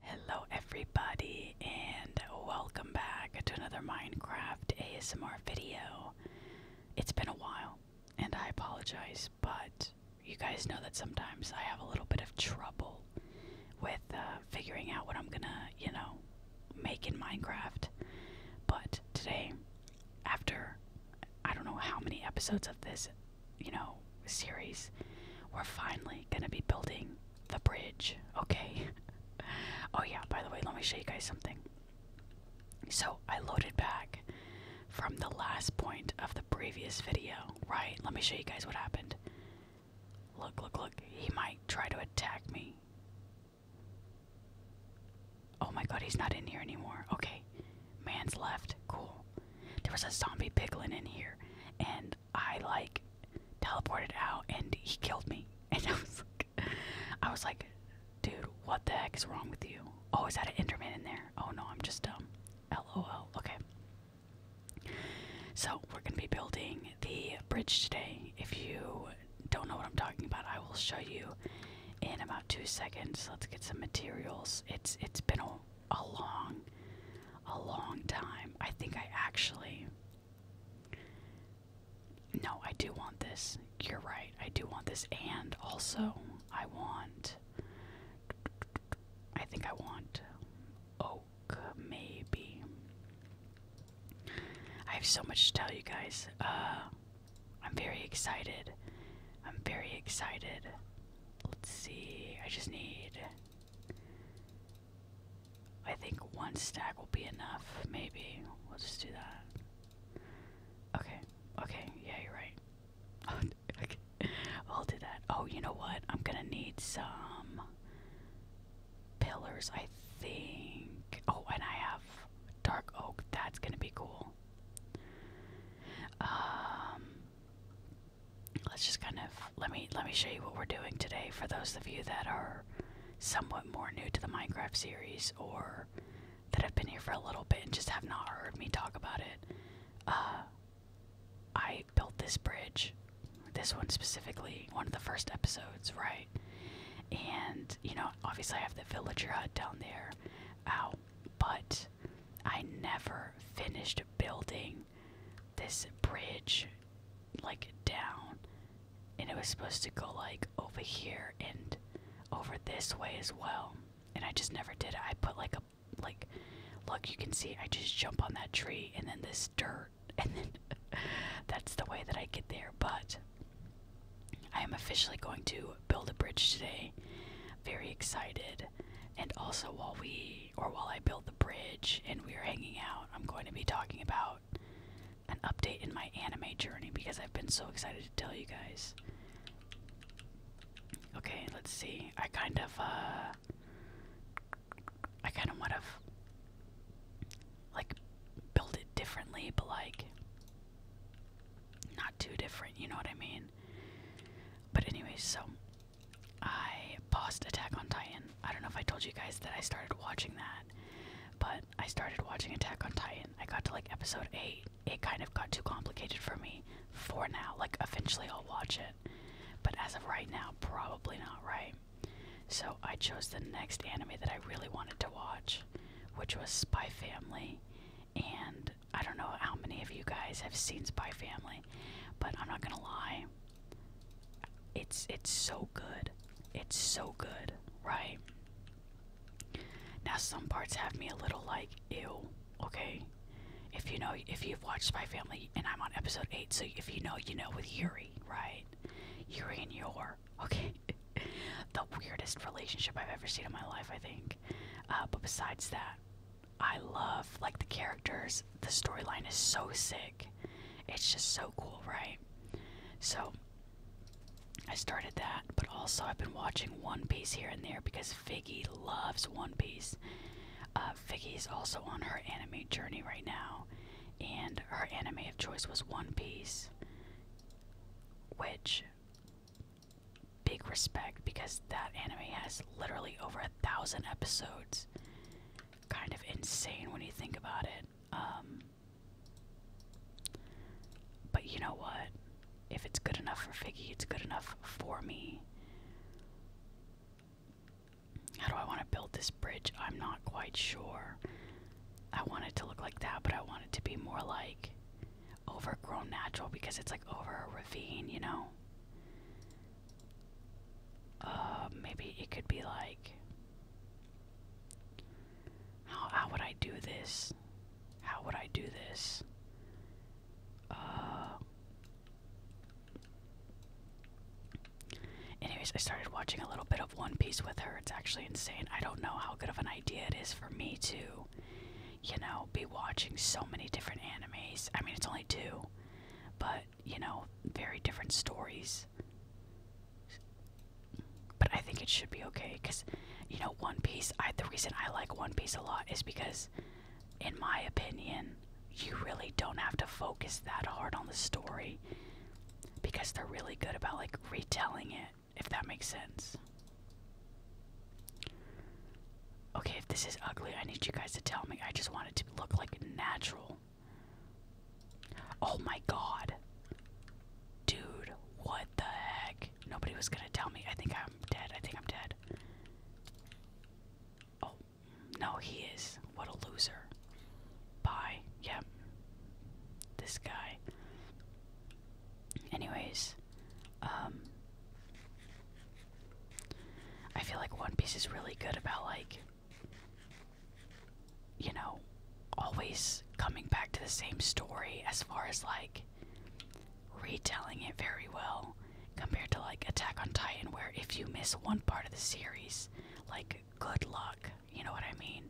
Hello, everybody, and welcome back to another Minecraft ASMR video. It's been a while, and I apologize, but you guys know that sometimes I have a little bit of trouble with uh, figuring out what I'm gonna, you know, make in Minecraft. But today, after I don't know how many episodes of this, you know, series, we're finally gonna be building the bridge. Okay. oh, yeah, by the way, let me show you guys something. So, I loaded back from the last point of the previous video, right? Let me show you guys what happened. Look, look, look. He might try to attack me. Oh my god, he's not in here anymore. Okay. Man's left. Cool. There was a zombie piglin in here, and I like teleported out and he killed me. And I was like, I was like, dude, what the heck is wrong with you? Always oh, had an Enderman in there? Oh no, I'm just um, LOL. Okay. So we're gonna be building the bridge today. If you don't know what I'm talking about, I will show you in about two seconds. Let's get some materials. It's it's been a a long, a long time. I think I actually. No, I do want this. You're right. I do want this. And also, I want. I think I want oak, maybe. I have so much to tell you guys. Uh, I'm very excited. I'm very excited. Let's see. I just need. I think one stack will be enough, maybe. We'll just do that. Okay, okay, yeah, you're right. Oh, I'll do that. Oh, you know what? I'm gonna need some pillars, I think. Oh, and I have dark oak. That's gonna be cool. Um let's just kind of let me let me show you what we're doing today for those of you that are somewhat more new to the Minecraft series or that have been here for a little bit and just have not heard me talk about it. Uh, I built this bridge, this one specifically, one of the first episodes, right? And, you know, obviously I have the villager hut down there. Ow. But I never finished building this bridge like down and it was supposed to go like over here and over this way as well and i just never did i put like a like look you can see i just jump on that tree and then this dirt and then that's the way that i get there but i am officially going to build a bridge today very excited and also while we or while I build the bridge and we are hanging out, I'm going to be talking about an update in my anime journey because I've been so excited to tell you guys. Okay, let's see. I kind of, uh. I kind of would have. Like, built it differently, but like. Not too different, you know what I mean? But, anyways, so I paused Attack on Titan. I don't know if I told you guys that I started watching that, but I started watching Attack on Titan. I got to like episode 8. It kind of got too complicated for me for now. Like, eventually I'll watch it, but as of right now, probably not, right? So I chose the next anime that I really wanted to watch, which was Spy Family. And I don't know how many of you guys have seen Spy Family, but I'm not gonna lie. It's it's so good. It's so good, right? Now some parts have me a little like ew, okay? If you know if you've watched My Family and I'm on episode 8, so if you know, you know with Yuri, right? Yuri and Yor, okay? the weirdest relationship I've ever seen in my life, I think. Uh, but besides that, I love like the characters. The storyline is so sick. It's just so cool, right? So I started that, but also I've been watching One Piece here and there because Figgy loves One Piece. Uh, Figgy's also on her anime journey right now, and her anime of choice was One Piece, which big respect because that anime has literally over a thousand episodes kind of insane when you think about it. Um, but you know what? If it's good enough for Figgy, it's good enough for me. How do I want to build this bridge? I'm not quite sure. I want it to look like that, but I want it to be more like overgrown natural because it's like over a ravine, you know? Uh, maybe it could be like. How, how would I do this? How would I do this? Uh. Anyways, I started watching a little bit of One Piece with her. It's actually insane. I don't know how good of an idea it is for me to, you know, be watching so many different animes. I mean, it's only two, but you know, very different stories. But I think it should be okay because, you know, One Piece. I the reason I like One Piece a lot is because, in my opinion, you really don't have to focus that hard on the story because they're really good about like retelling it, if that makes sense. Okay, if this is ugly, I need you guys to tell me. I just want it to look like natural. Oh my god. Dude, what the heck? Nobody was gonna tell me. I think I'm dead. I think I'm dead. Oh, no, he is. What a loser. Bye. Yep. This guy. Anyways, um, I feel like One Piece is really good about like you know, always coming back to the same story as far as like retelling it very well compared to like Attack on Titan where if you miss one part of the series, like good luck, you know what I mean?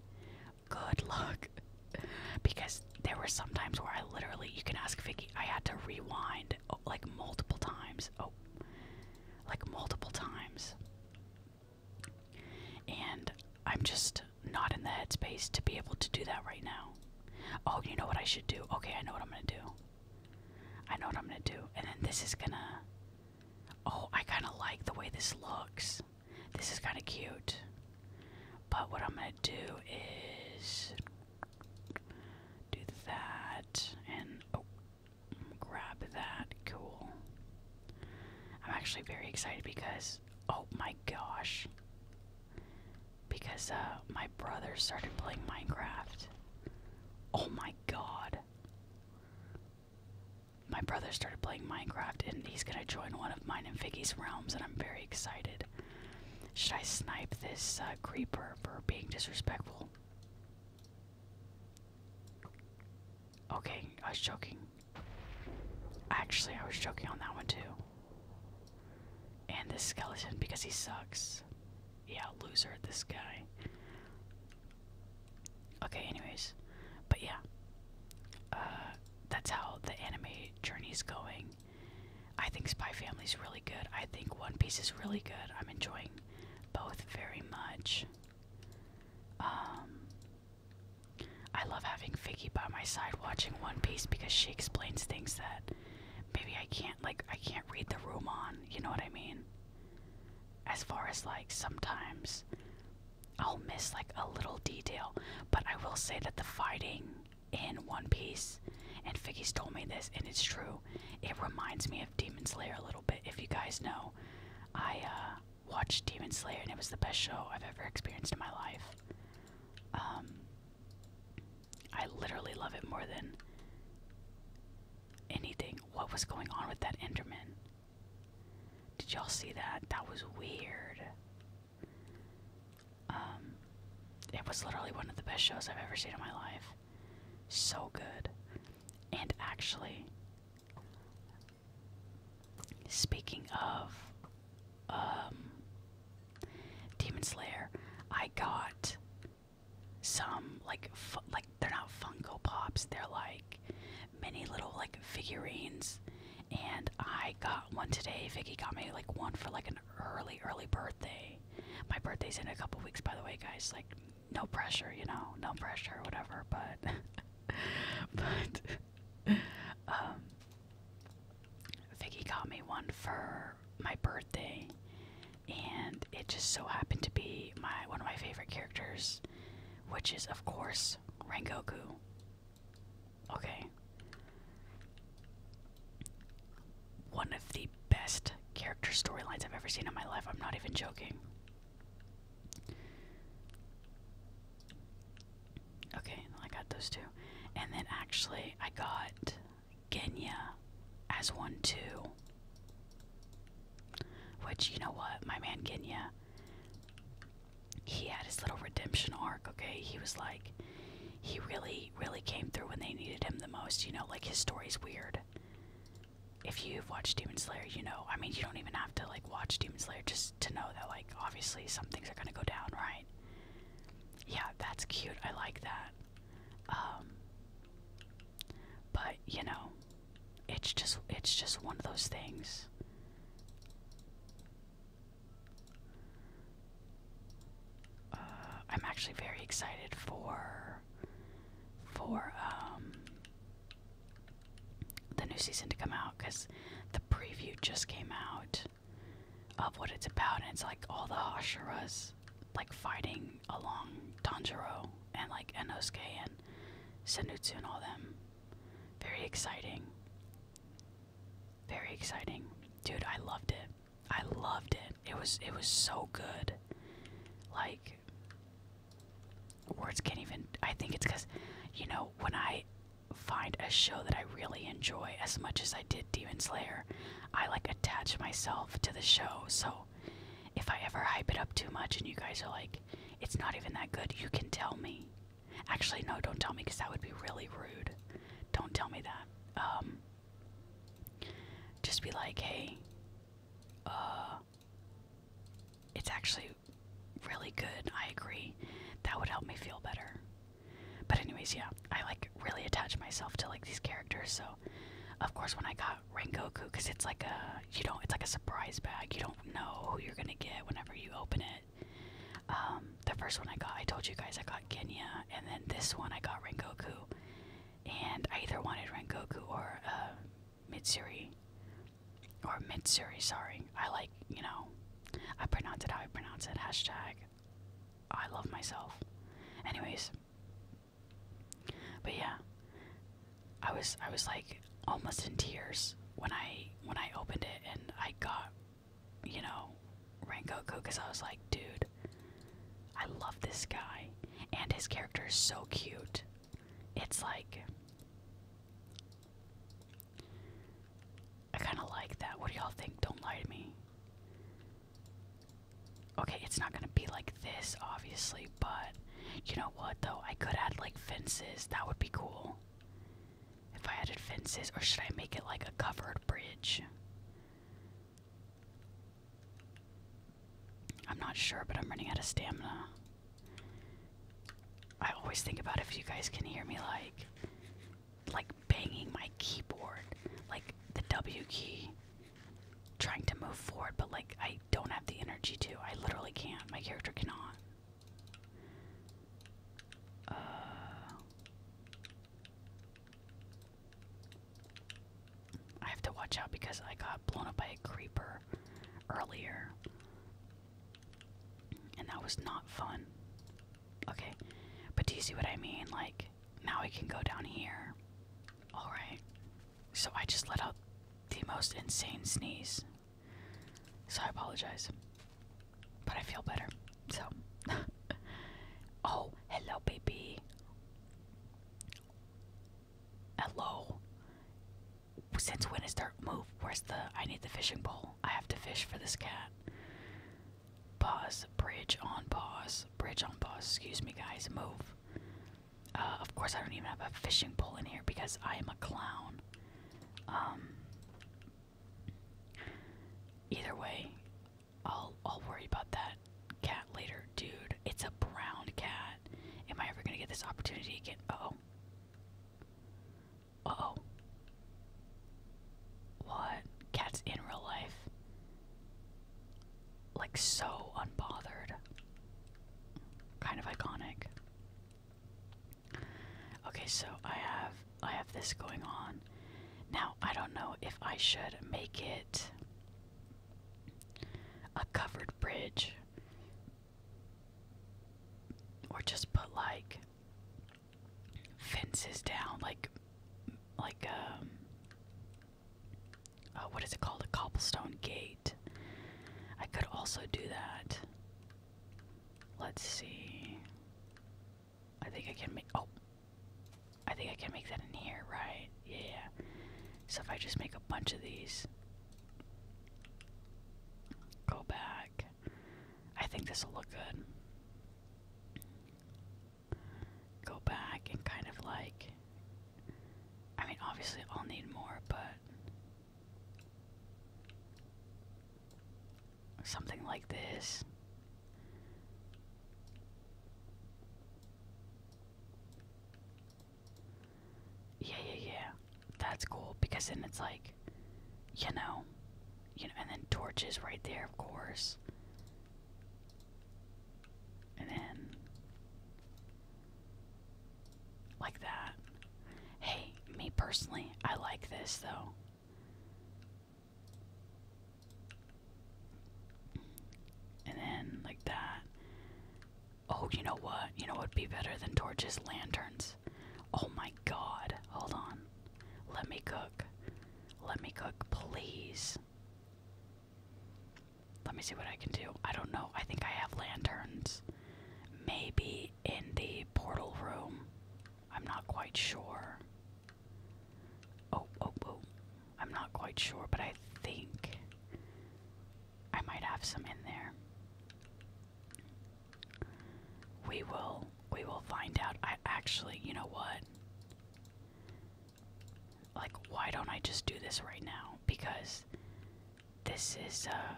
Good luck. because there were some times where I literally you can ask Vicky, I had to rewind like multiple times. Oh like multiple times. And I'm just not in the headspace to be able to do that right now. Oh, you know what I should do? Okay, I know what I'm gonna do. I know what I'm gonna do. And then this is gonna. Oh, I kind of like the way this looks. This is kind of cute. But what I'm gonna do is do that. And. Oh, Grab that. Cool. I'm actually very excited because, oh my gosh. Because uh, my brother started playing Minecraft. Oh my god. My brother started playing Minecraft and he's gonna join one of mine and Vicky's realms, and I'm very excited. Should I snipe this uh, creeper for being disrespectful? Okay, I was joking. Actually, I was joking on that one too. And this skeleton, because he sucks. Yeah, loser, this guy. Okay, anyways. But yeah. Uh, that's how the anime journey is going. I think Spy Family is really good. I think One Piece is really good. I'm enjoying both very much. Um, I love having Figgy by my side watching One Piece because she explains things that maybe I can't like I can't read the room on, you know what I mean? As far as like sometimes I'll miss like a little detail, but I will say that the fighting in One Piece and Figgy's told me this and it's true. It reminds me of Demon Slayer a little bit. If you guys know, I uh, watched Demon Slayer and it was the best show I've ever experienced in my life. Um, I literally love it more than anything. What was going on with that Enderman? Did y'all see that? That was weird. Um, it was literally one of the best shows I've ever seen in my life. So good. And actually, speaking of um, Demon Slayer, I got some like like they're not Funko Pops, they're like many little like figurines. And I got one today. Vicky got me like one for like an early, early birthday. My birthday's in a couple weeks, by the way, guys. Like no pressure, you know, no pressure, whatever. But, but, um, Vicky got me one for my birthday, and it just so happened to be my one of my favorite characters, which is of course Rengoku. Okay one of the best character storylines I've ever seen in my life. I'm not even joking. Okay, I got those two. And then actually, I got Genya as one, too. Which, you know what? My man Genya, he had his little redemption arc, okay? He was like, he really, really came through when they needed him the most, you know? Like, his story's weird if you've watched Demon Slayer, you know. I mean, you don't even have to like watch Demon Slayer just to know that like obviously some things are gonna go down, right? Yeah, that's cute. I like that. Um, but you know, it's just it's just one of those things. Uh, I'm actually very excited for for um, the new season to come out because the preview just came out of what it's about and it's like all the Hashiras like fighting along Tanjiro and like Enosuke and Senutsu and all them. Very exciting. Very exciting. Dude, I loved it. I loved it it. was it was so good. Like words can't even I think it's cuz you know when I find a show that I really enjoy as much as I did Demon Slayer, I like attach myself to the show. So if I ever hype it up too much and you guys are like it's not even that good, you can tell me. Actually no, don't tell me cuz that would be really rude. Don't tell me that. Um just be like, "Hey, uh, it's actually really good. I agree. That would help me feel better. But anyways, yeah, I like really attach myself to like these characters. So, of course, when I got Goku, because it's like a you don't it's like a surprise bag. You don't know who you're gonna get whenever you open it. Um, the first one I got, I told you guys I got Genya, and then this one I got Goku and I either wanted Rankoku or uh, Mitsuri. Or Mitsuri, sorry. I like, you know, I pronounce it how I pronounce it. Hashtag I love myself. Anyways. But yeah. I was I was like almost in tears when I when I opened it and I got, you know, Rankoku because I was like, dude, I love this guy. And his character is so cute. It's like. I kind of like that. What do y'all think? Don't lie to me. Okay, it's not gonna be like this, obviously, but you know what though? I could add like fences. That would be cool. If I added fences, or should I make it like a covered bridge? I'm not sure, but I'm running out of stamina. I always think about if you guys can hear me like like banging my keyboard, like the W key trying to move forward, but like I don't have the energy to. I literally can't. My character cannot. Uh, I have to watch out because I got blown up by a creeper earlier. And that was not fun. Okay. But do you see what I mean? Like, now I can go down here. Alright. So I just let out the most insane sneeze. So I apologize. But I feel better. So. oh, hello, baby. Hello. Since when is there move? Where's the I need the fishing pole? I have to fish for this cat. Pause. Bridge on pause. Bridge on pause. Excuse me guys, move. Uh, of course I don't even have a fishing pole in here because I am a clown. Um Either way, I'll I'll worry about that cat later. Dude, it's a brown cat. Am I ever gonna get this opportunity again? oh. Uh oh. What? Cats in real life? Like so unbothered. Kind of iconic. Okay, so I have I have this going on. Now I don't know if I should make it a covered bridge, or just put like fences down, like like um, oh, what is it called, a cobblestone gate. I could also do that. Let's see. I think I can make. Oh, I think I can make that in here, right? Yeah. So if I just make a bunch of these, go back. I think this will look good. Go back and kind of like. I mean, obviously, I'll need more, but. Something like this. Yeah, yeah, yeah. That's cool because then it's like, you know, you know, and then torches right there, of course. And then like that. Hey, me personally, I like this though. And then like that. Oh, you know what? You know what'd be better than torches? Lanterns. Oh my god. Hold on. Let me cook. Let me cook, please. Let me see what I can do. I don't know. I think I have lanterns. Maybe in the portal room. I'm not quite sure. Oh, oh, oh. I'm not quite sure, but I think I might have some in there. We will we will find out. I actually, you know what? Like why don't I just do this right now? Because this is uh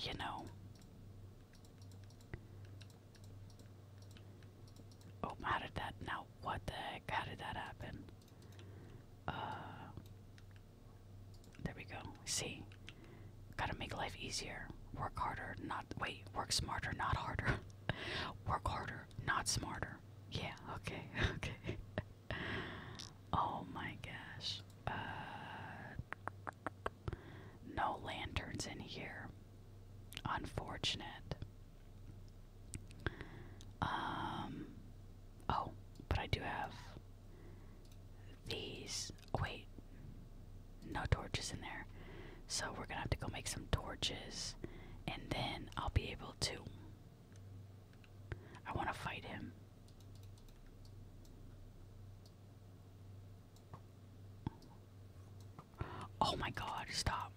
you know Oh, how did that now what the heck? How did that happen? Uh, there we go. See, gotta make life easier. Work harder, not wait. Work smarter, not harder. work harder, not smarter. Yeah. Okay. Okay. oh my gosh. Uh, no lanterns in here. Unfortunate. Um, oh, but I do have these. Oh, wait, no torches in there. So we're gonna have to go make some torches, and then I'll be able to. I want to fight him. Oh my god, stop.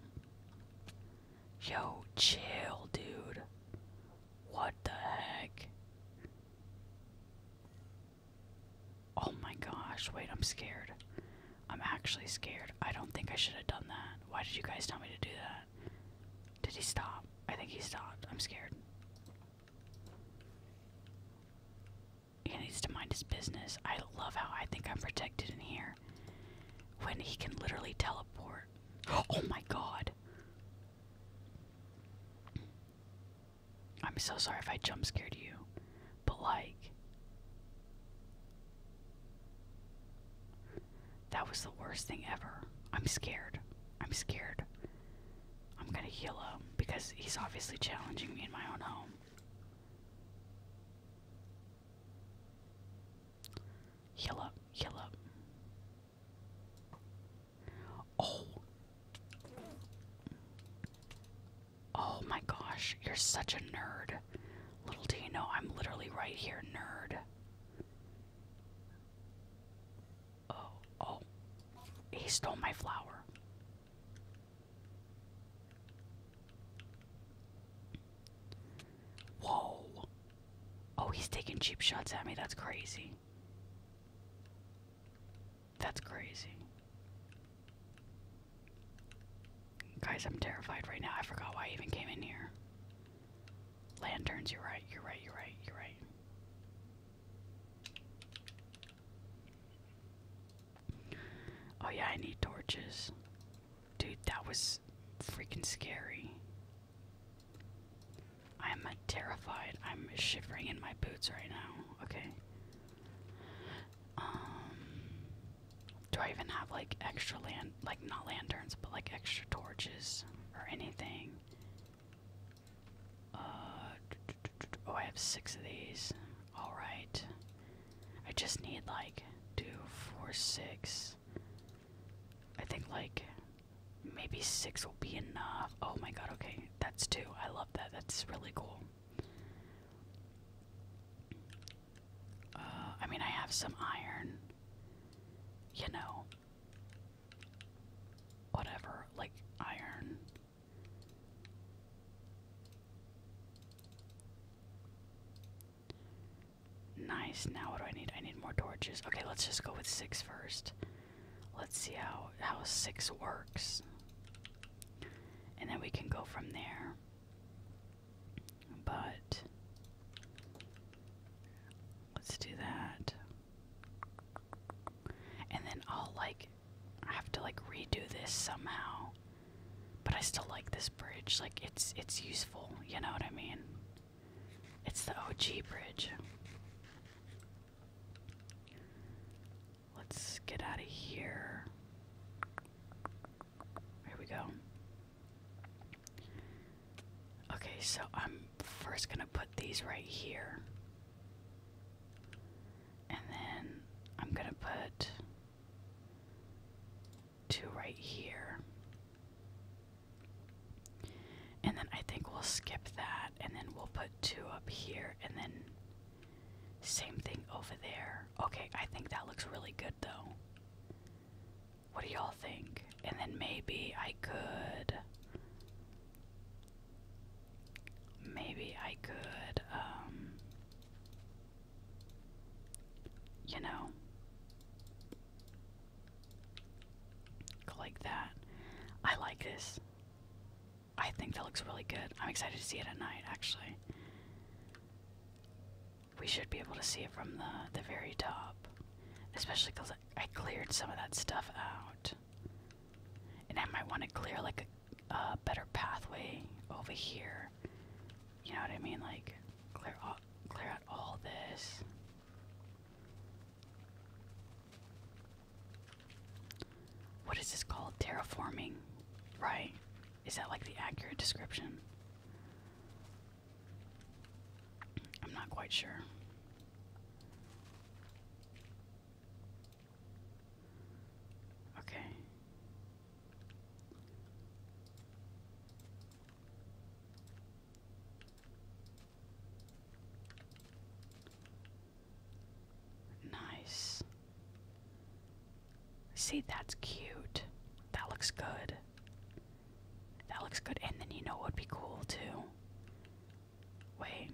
Yo, chill, dude. What the heck? Oh my gosh, wait, I'm scared. I'm actually scared. I don't think I should have done that. Why did you guys tell me to do that? Did he stop? I think he stopped. I'm scared. He needs to mind his business. I love how I think I'm protected in here when he can literally teleport. Oh my god. I'm so sorry if I jump scared you, but like. That was the worst thing ever. I'm scared. I'm scared. I'm gonna heal him because he's obviously challenging me in my own home. Heal up, heal up. Oh. Oh my gosh, you're such a nerd. Little do you know, I'm literally right here, nerd. Oh, oh. He stole my flower. Whoa. Oh, he's taking cheap shots at me. That's crazy. That's crazy. Guys, I'm terrified right now. I forgot why I even came in here. Lanterns, you're right, you're right, you're right, you're right. Oh, yeah, I need torches. Dude, that was freaking scary. I'm terrified. I'm shivering in my boots right now. Okay. Um do I even have like extra land like not lanterns but like extra torches or anything? Uh oh I have six of these. Alright. I just need like two, four, six, I think like maybe six will be enough. Oh my god, okay. That's two. I love that. That's really cool. Uh, I mean, I have some iron. You know. Whatever. Like, iron. Nice. Now what do I need? I need more torches. Okay, let's just go with six first. Let's see how how six works. And then we can go from there. But let's do that. And then I'll like I have to like redo this somehow. But I still like this bridge. Like it's it's useful, you know what I mean? It's the OG bridge. Let's get out of here. Here we go. Okay, so I'm first going to put these right here. And then I'm going to put two right here. And then I think we'll skip that, and then we'll put two up here, and then same thing over there. Okay, I think that looks really good though. What do y'all think? And then maybe I could. Maybe I could, um. You know. Go like that. I like this. I think that looks really good. I'm excited to see it at night, actually. We should be able to see it from the, the very top. Especially because I, cleared some of that stuff out. And I might want to clear like a, better pathway over here. You know what I mean? Like, clear all, clear out all this. What is this called? Terraforming, right? Is that like the accurate description? I'm not quite sure. Okay. Nice. See, that's cute. That looks good. That looks good. And then you know it would be cool too? Wait.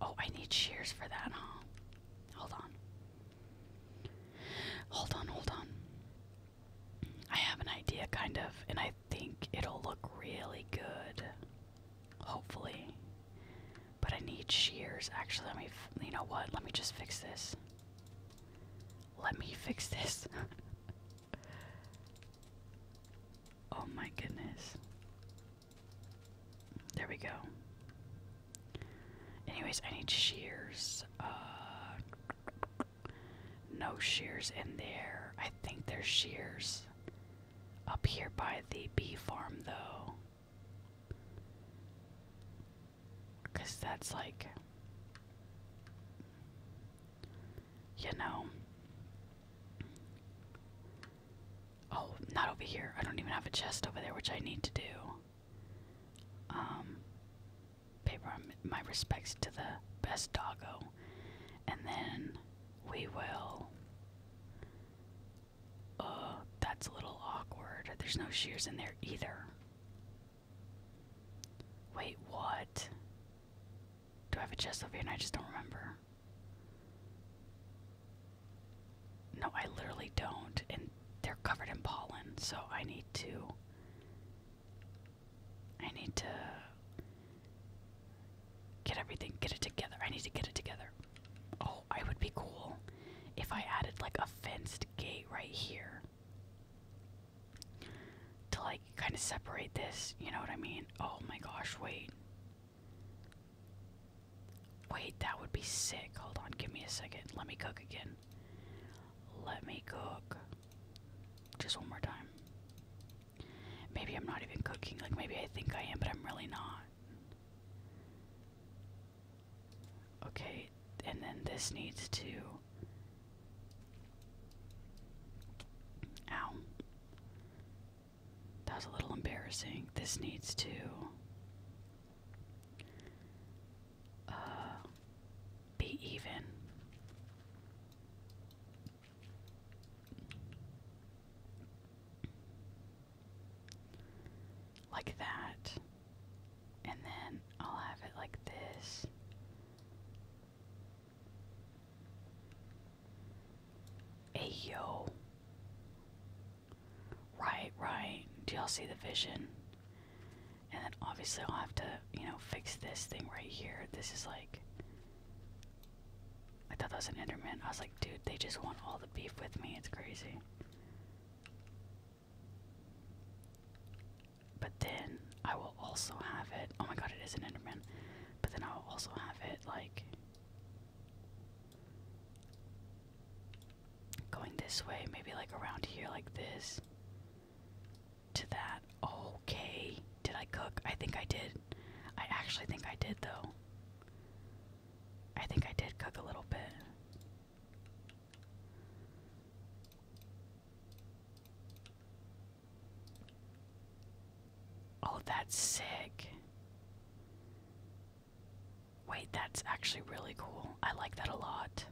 Oh, I need shears for that, huh? Hold on. Hold on, hold on. I have an idea, kind of, and I think it'll look really good. Hopefully. But I need shears. Actually, let me. you know what? Let me just fix this. Let me fix this. oh my goodness. There we go. Anyways, I need shears. Uh, no shears in there. I think there's shears up here by the bee farm, though. Because that's like. You know. Oh, not over here. I don't even have a chest over there, which I need to do. Um, paper my respects to the best doggo, and then we will. Uh, that's a little awkward. There's no shears in there either. Wait, what? Do I have a chest over here and I just don't remember? No, I literally don't. And they're covered in pollen, so I need to I need to get everything get it together. I need to get it together. Oh, I would be cool if I added like a fenced gate right here. To like kind of separate this, you know what I mean? Oh my gosh, wait. Wait, that would be sick. Hold on, give me a second. Let me cook again. Let me cook. Just one more time. Maybe I'm not even cooking. Like, maybe I think I am, but I'm really not. Okay, and then this needs to. Ow. That was a little embarrassing. This needs to uh, be even. Like that. And then I'll have it like this. Ayo. Right, right. Do y'all see the vision? And then obviously I'll have to, you know, fix this thing right here. This is like. I thought that was an Enderman. I was like, dude, they just want all the beef with me. It's crazy. But then I will also have it. Oh my god, it is an Enderman. But then I will also have it like. Going this way, maybe like around here, like this. To that. Okay. Did I cook? I think I did. I actually think I did, though. I think I did cook a little bit. Oh, that's sick. Wait, that's actually really cool. I like that a lot.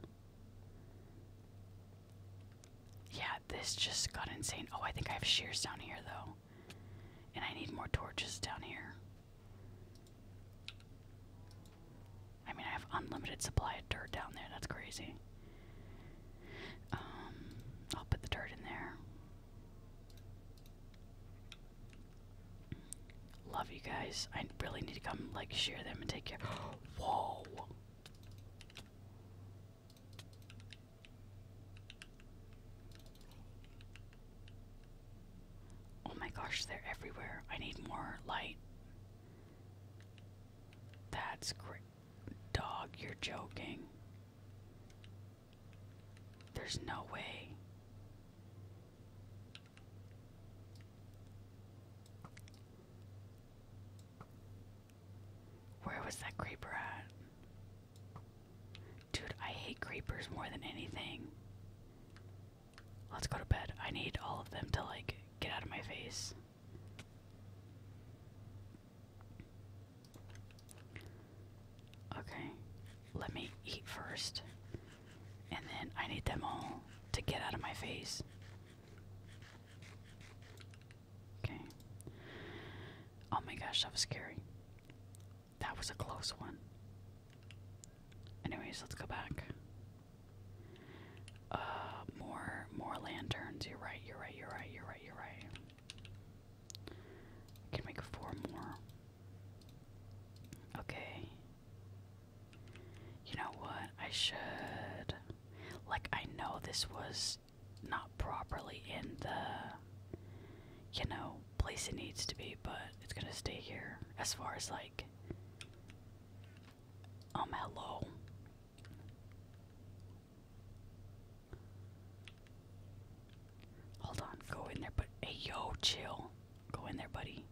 Yeah, this just got insane. Oh, I think I have shears down here, though. And I need more torches down here. I mean, I have unlimited supply of dirt down there. That's crazy. Um, I'll put the dirt in there. Love you guys. I really need to come like share them and take care. Whoa. Oh my gosh, they're everywhere. I need more light. That's great. Dog, you're joking. There's no way. Where was that creeper at? Dude, I hate creepers more than anything. Let's go to bed. I need all of them to, like, get out of my face. Okay, let me eat first. And then I need them all to get out of my face. Okay. Oh my gosh, that was scary. That was a close one. Anyways, let's go back. Uh, more, more lanterns. You're right, you're right, you're right, you're right, you're right. I can make four more. Okay. You know what? I should. Like, I know this was not properly in the, you know, place it needs to be, but it's gonna stay here as far as like. Um, hello. Hold on, go in there, but hey, yo, chill. Go in there, buddy.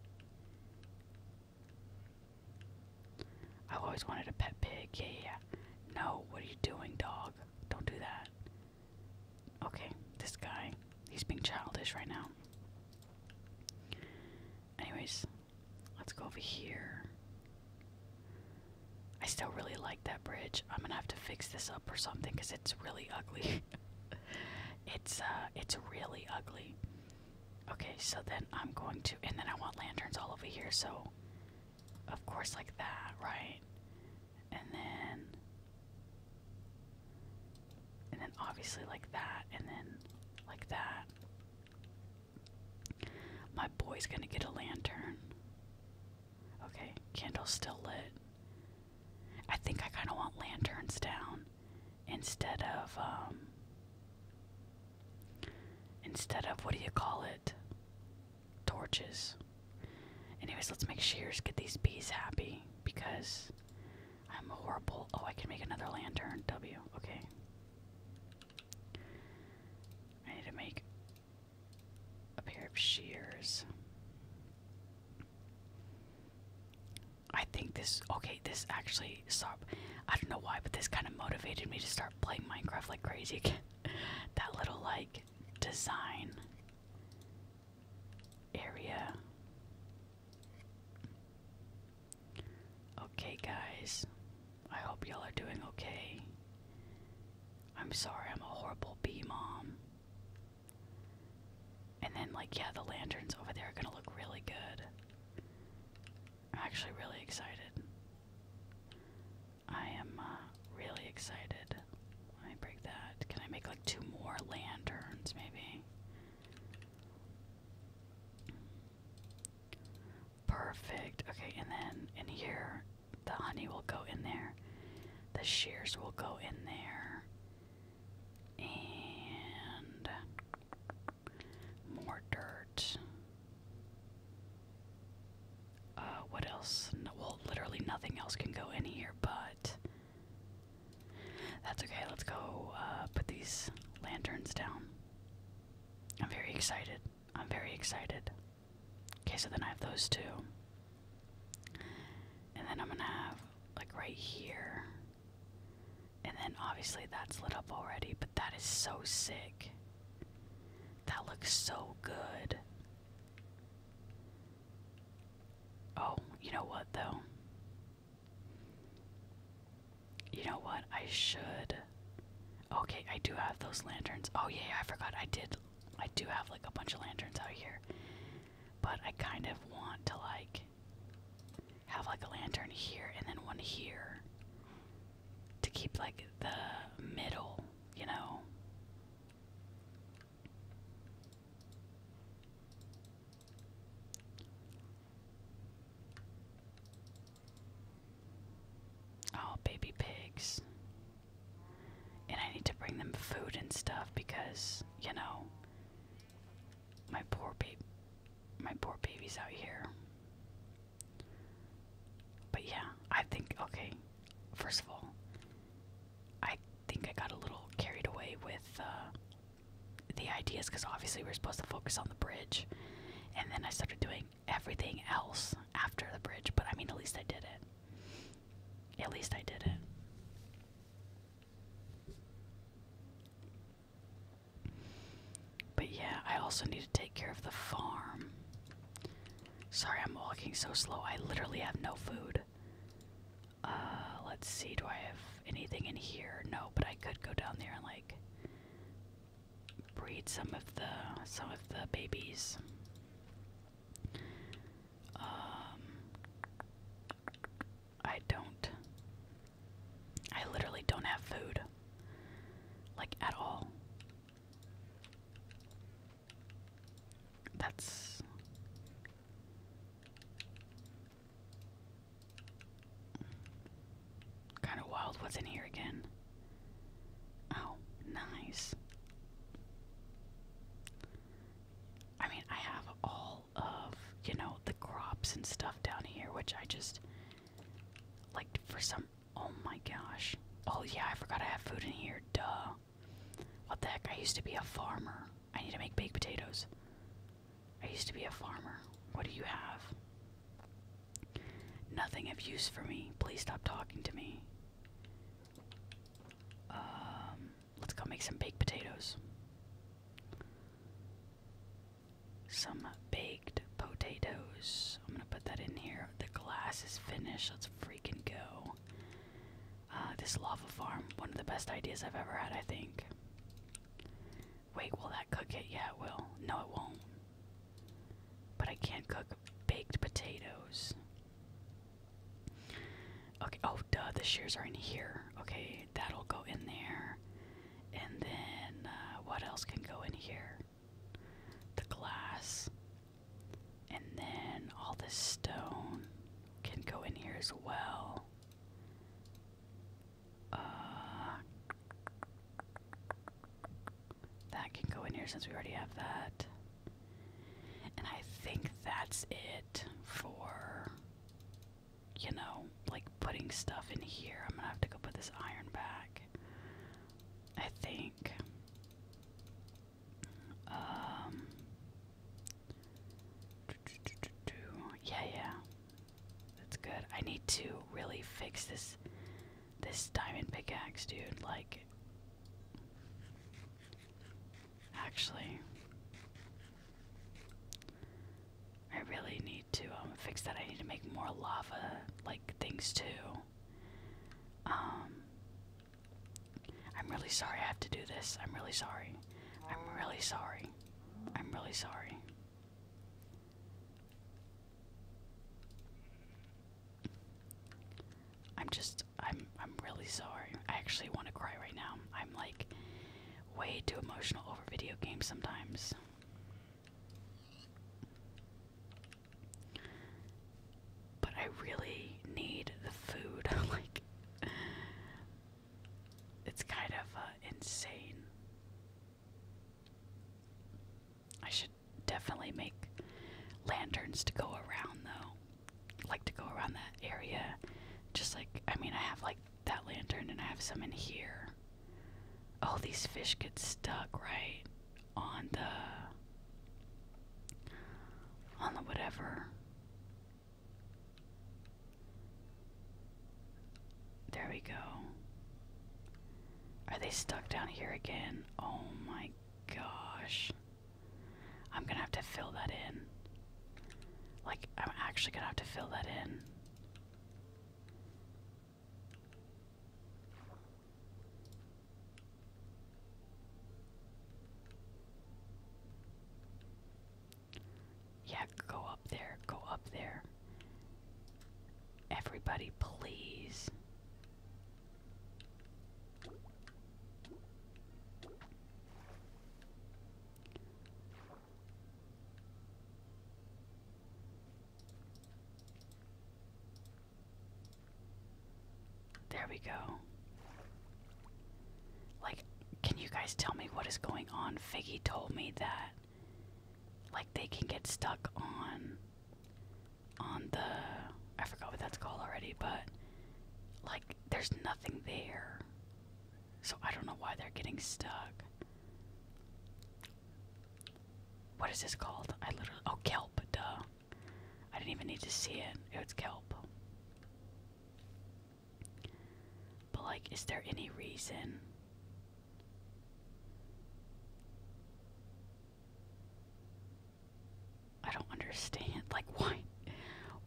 I've always wanted a pet pig. Yeah, yeah, yeah. No, what are you doing, dog? Don't do that. Okay, this guy, he's being childish right now. Anyways, let's go over here. I still really like that bridge. I'm gonna have to fix this up or something because it's really ugly. it's uh, it's really ugly. Okay, so then I'm going to, and then I want lanterns all over here, so of course, like that, right? And then, and then obviously, like that, and then like that. My boy's gonna get a lantern. Okay, candle's still lit. I think I kind of want lanterns down instead of um, instead of what do you call it torches anyways let's make shears get these bees happy because i'm horrible oh i can make another lantern w okay i need to make a pair of shears I think this okay, this actually stop. I don't know why, but this kind of motivated me to start playing Minecraft like crazy again. that little like design area. Okay, guys. I hope y'all are doing okay. I'm sorry, I'm a horrible bee mom. And then, like, yeah, the lanterns over there are gonna look really good. I'm actually really excited. I am uh, really excited. Let me break that. Can I make like two more lanterns, maybe? Perfect. Okay, and then in here, the honey will go in there, the shears will go in there, and more dirt. Uh, what else? well, literally nothing else can go in here, but that's okay. Let's go uh, put these lanterns down. I'm very excited. I'm very excited. Okay, so then I have those two. And then I'm gonna have, like, right here, and then obviously that's lit up already, but that is so sick. That looks so good. Oh, you know what though? You know what? I should. Okay, I do have those lanterns. Oh yeah, I forgot. I did. I do have like a bunch of lanterns out here. But I kind of want to like have like a lantern here and then one here to keep like the middle, you know. Oh, baby pigs. And I need to bring them food and stuff because, you know, my poor baby, my poor baby's out here. But yeah, I think okay. First of all, I think I got a little carried away with uh, the ideas because obviously we're supposed to focus on the bridge, and then I started doing everything else after the bridge. But I mean, at least I did it. At least I did it. But yeah, I also need to take care of the farm. Sorry, I'm walking so slow. I literally have no food. Uh, let's see. Do I have anything in here? No, but I could go down there and like breed some of the some of the babies. Um, I don't. I literally don't have food. Like, at all. That's. Kind of wild what's in here again. Oh, nice. I mean, I have all of, you know, the crops and stuff down here, which I just like for some. Oh my gosh. Oh yeah, I forgot I have food in here. Duh. What the heck? I used to be a farmer. I need to make baked potatoes. I used to be a farmer. What do you have? Nothing of use for me. Please stop talking to me. Um, let's go make some baked potatoes some baked potatoes. I'm gonna put that in here. The glass is finished. Let's freaking go. Uh, this lava farm, one of the best ideas I've ever had, I think. Wait, will that cook it? Yeah, it will. No, it won't. But I can't cook baked potatoes. Okay, oh, duh, the shears are in here. Okay, that'll go in there. And then uh, what else can go in here? The glass. And then all this stone can go in here as well. Uh, that can go in here since we already have that. And I think that's it for you know, like putting stuff in here. I'm gonna have to go put this iron back. I think. Um. Yeah, yeah. That's good. I need to really fix this this diamond pickaxe, dude. Like Actually, I really need to um, fix that. I need to make more lava like things too. Um, I'm really sorry I have to do this. I'm really sorry. I'm really sorry. I'm really sorry. I'm just I'm I'm really sorry. I actually want to cry right now. I'm like way too emotional over video games sometimes. But I really need the food. like, it's kind of uh, insane. I should definitely make lanterns to go around, though. Like to go around that area. Just like, I mean, I have like that lantern and I have some in here. Oh, these fish get stuck right on the on the whatever. There we go. Are they stuck down here again? Oh my gosh. I'm gonna have to fill that in. Like, I'm actually gonna have to fill that in. Yeah, go up there, go up there. Everybody, please. There we go. Like, can you guys tell me what is going on? Figgy told me that like they can get stuck on on the I forgot what that's called already, but like there's nothing there. So I don't know why they're getting stuck. What is this called? I literally. Oh, kelp, duh. I didn't even need to see it. It was kelp. But, like, is there any reason? I don't understand. Like, why?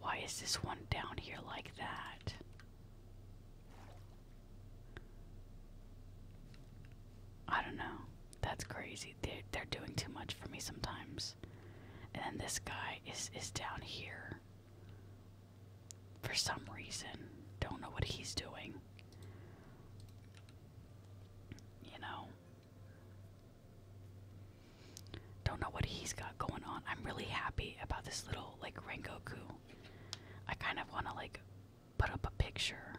Why is this one down here like that? I don't know. That's crazy. They they're doing too much for me sometimes. And then this guy is is down here. For some reason, don't know what he's doing. You know. Don't know what he's got going on. I'm really happy about this little like Rengoku I kind of want to like put up a picture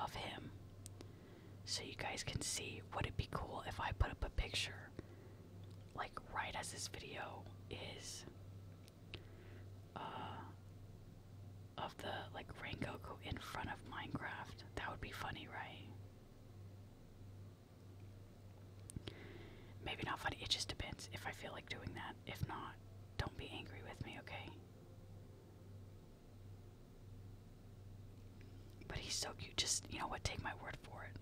of him so you guys can see. Would it be cool if I put up a picture like right as this video is uh, of the like rain Rangoku in front of Minecraft? That would be funny, right? Maybe not funny. It just depends if I feel like doing that. If not, don't be angry with me, okay? But he's so cute. Just, you know what? Take my word for it.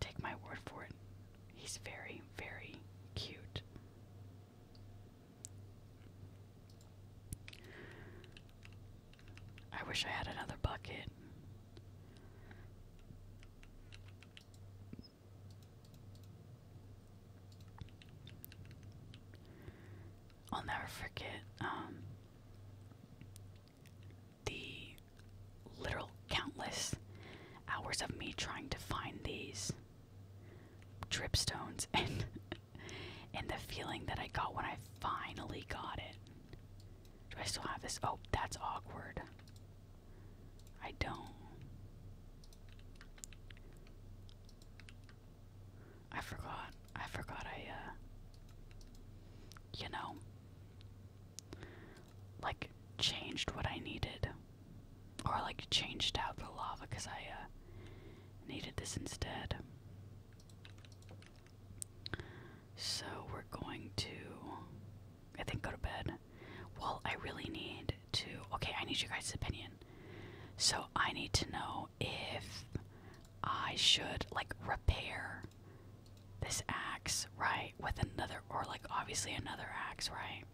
Take my word for it. He's very, very cute. I wish I had another bucket. I'll never forget um, the literal countless hours of me trying to find these dripstones and and the feeling that I got when I finally got it. Do I still have this? Oh, that's awkward. I don't. I forgot. I forgot I, uh. You know. Like, changed what I needed. Or, like, changed out the lava because I, uh. Needed this instead. So we're going to. I think go to bed. Well, I really need to. Okay, I need you guys' opinion. So I need to know if I should, like, repair this axe, right? With another, or, like, obviously another axe, right?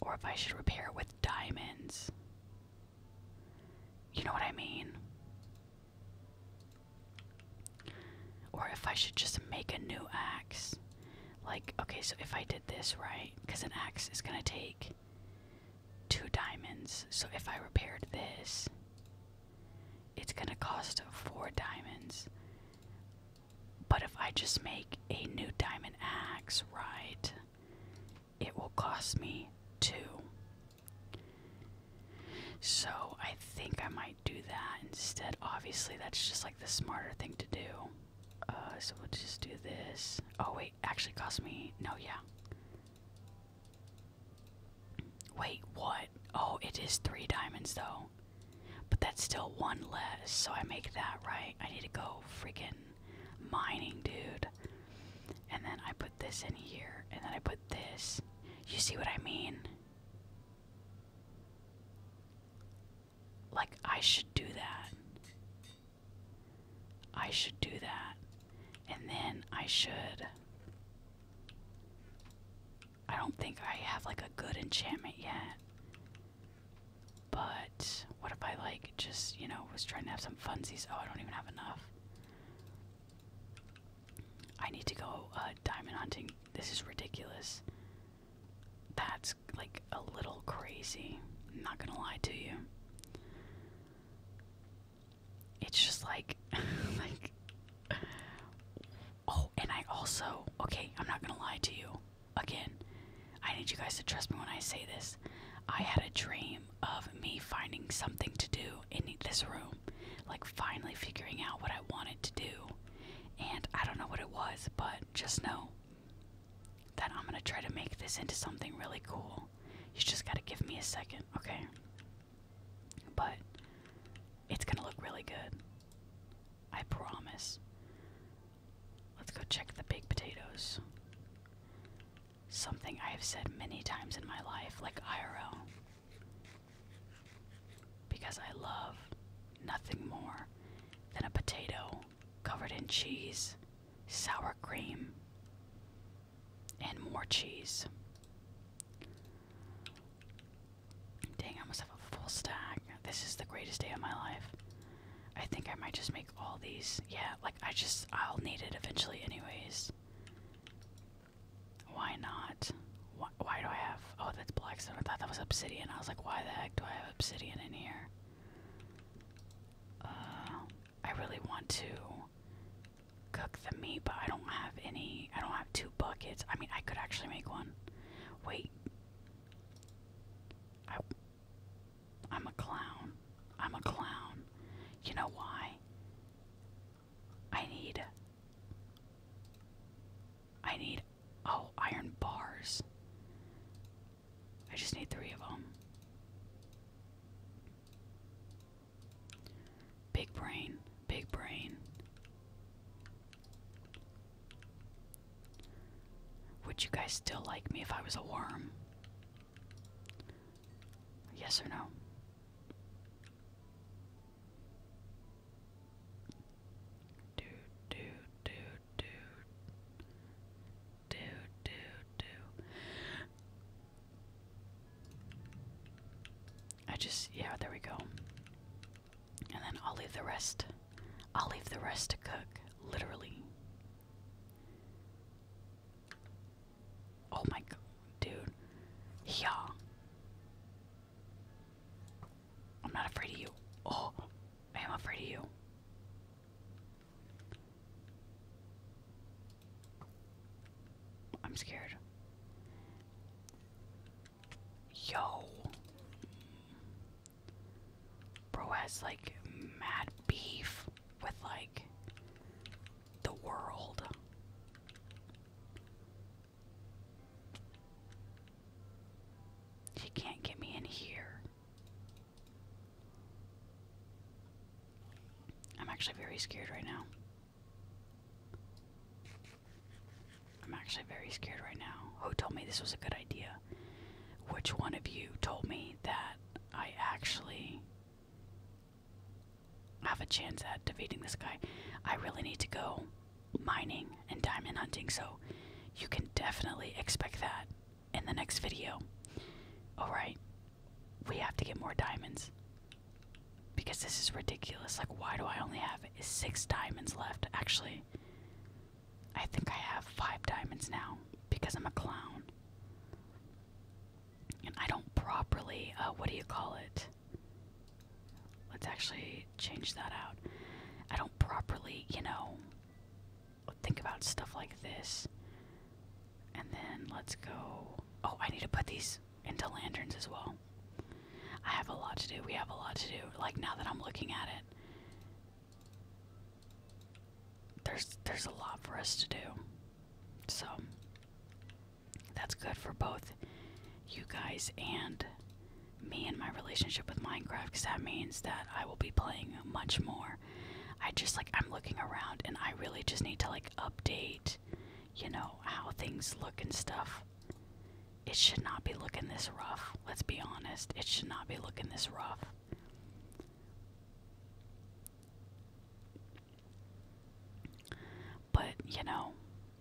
Or if I should repair it with diamonds. You know what I mean? Or if I should just make a new axe. Like, okay, so if I did this right, because an axe is going to take two diamonds. So if I repaired this, it's going to cost four diamonds. But if I just make a new diamond axe, right, it will cost me two. So I think I might do that instead. Obviously, that's just like the smarter thing to do. Uh, so we'll just do this. Oh, wait, actually cost me. No, yeah. Wait, what? Oh, it is three diamonds though. But that's still one less, so I make that right. I need to go freaking mining, dude. And then I put this in here, and then I put this. You see what I mean? Like, I should do that. I should do that. And then I should. I don't think I have like a good enchantment yet. But what if I like just, you know, was trying to have some funsies? Oh, I don't even have enough. I need to go uh, diamond hunting. This is ridiculous. That's like a little crazy. I'm not gonna lie to you. It's just like, like. Oh, and I also okay. I'm not gonna lie to you. Again, I need you guys to trust me when I say this. I had a dream of me finding something to do in this room, like finally figuring out what I wanted to do. And I don't know what it was, but just know that I'm gonna try to make this into something really cool. You just gotta give me a second, okay? But it's gonna look really good. I promise. Let's go check the big potatoes. Something I have said many times in my life, like IRL. Because I love nothing more than a potato covered in cheese, sour cream, and more cheese. Dang, I must have a full stack. This is the greatest day of my life. I think I might just make all these. Yeah, like I just, I'll need it eventually, anyways. Why not? Why, do I have. Oh, that's blackstone. I thought that was obsidian. I was like, why the heck do I have obsidian in here? Uh, I really want to cook the meat, but I don't have any. I don't have two buckets. I mean, I could actually make one. Wait. I'm a clown. I'm a clown. You know why? I need. I need. Oh, iron bars. I just need three of them. Big brain, big brain. Would you guys still like me if I was a worm? Yes or no? Do do do do do do do. I just yeah, there we go. And then I'll leave the rest. I'll leave the rest to cook, literally. Oh my god, dude. Yeah. I'm not afraid of you. Oh, I am afraid of you. I'm scared. Yo. Bro has like mad beef with like the world. She can't get me in here. I'm actually very scared right now. I'm actually very scared right now. Who told me this was a good idea? Which one of you told me that I actually have a chance at defeating this guy? I really need to go mining and diamond hunting, so you can definitely expect that in the next video. Alright, we have to get more diamonds because this is ridiculous. Like, why do I only have six diamonds left? Actually, I think I have five diamonds now because I'm a clown. And I don't properly, uh, what do you call it? Let's actually change that out. I don't properly, you know, think about stuff like this. And then let's go. Oh, I need to put these into lanterns as well. I have a lot to do. We have a lot to do. Like now that I'm looking at it. There's there's a lot for us to do. So that's good for both you guys and me and my relationship with Minecraft because that means that I will be playing much more. I just like, I'm looking around and I really just need to like update, you know, how things look and stuff. It should not be looking this rough. Let's be honest. It should not be looking this rough. But, you know,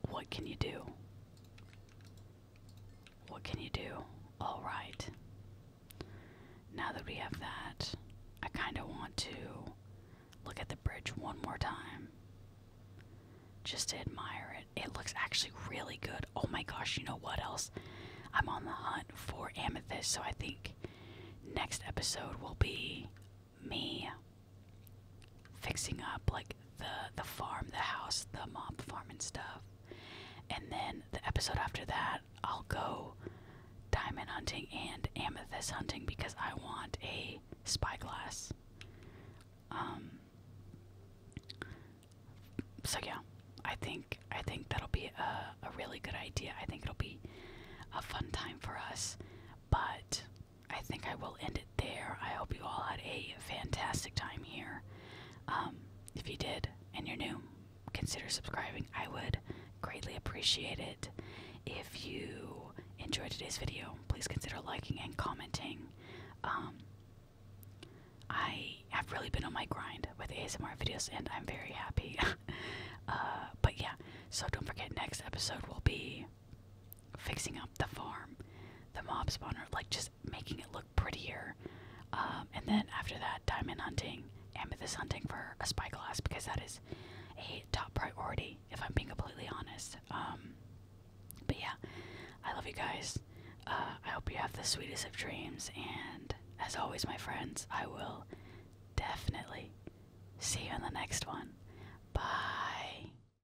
what can you do? What can you do? All right. Now that we have that, I kind of want to look at the bridge one more time. Just to admire it. It looks actually really good. Oh my gosh, you know what else? I'm on the hunt for amethyst, so I think next episode will be me fixing up like the the farm, the house, the mob farming stuff. And then the episode after that, I'll go diamond hunting and amethyst hunting because I want a spyglass. Um so yeah, I think I think that'll be a, a really good idea. I think it'll be a fun time for us. But I think I will end it there. I hope you all had a fantastic time here. Um, if you did and you're new, consider subscribing. I would greatly appreciate it. If you enjoyed today's video, please consider liking and commenting. Um, I have really been on my grind with ASMR videos, and I'm very happy. Uh, but yeah, so don't forget, next episode will be fixing up the farm, the mob spawner, like just making it look prettier. Um, and then after that, diamond hunting, amethyst hunting for a spyglass because that is a top priority, if I'm being completely honest. Um, but yeah, I love you guys. Uh, I hope you have the sweetest of dreams. And as always, my friends, I will definitely see you in the next one. Bye.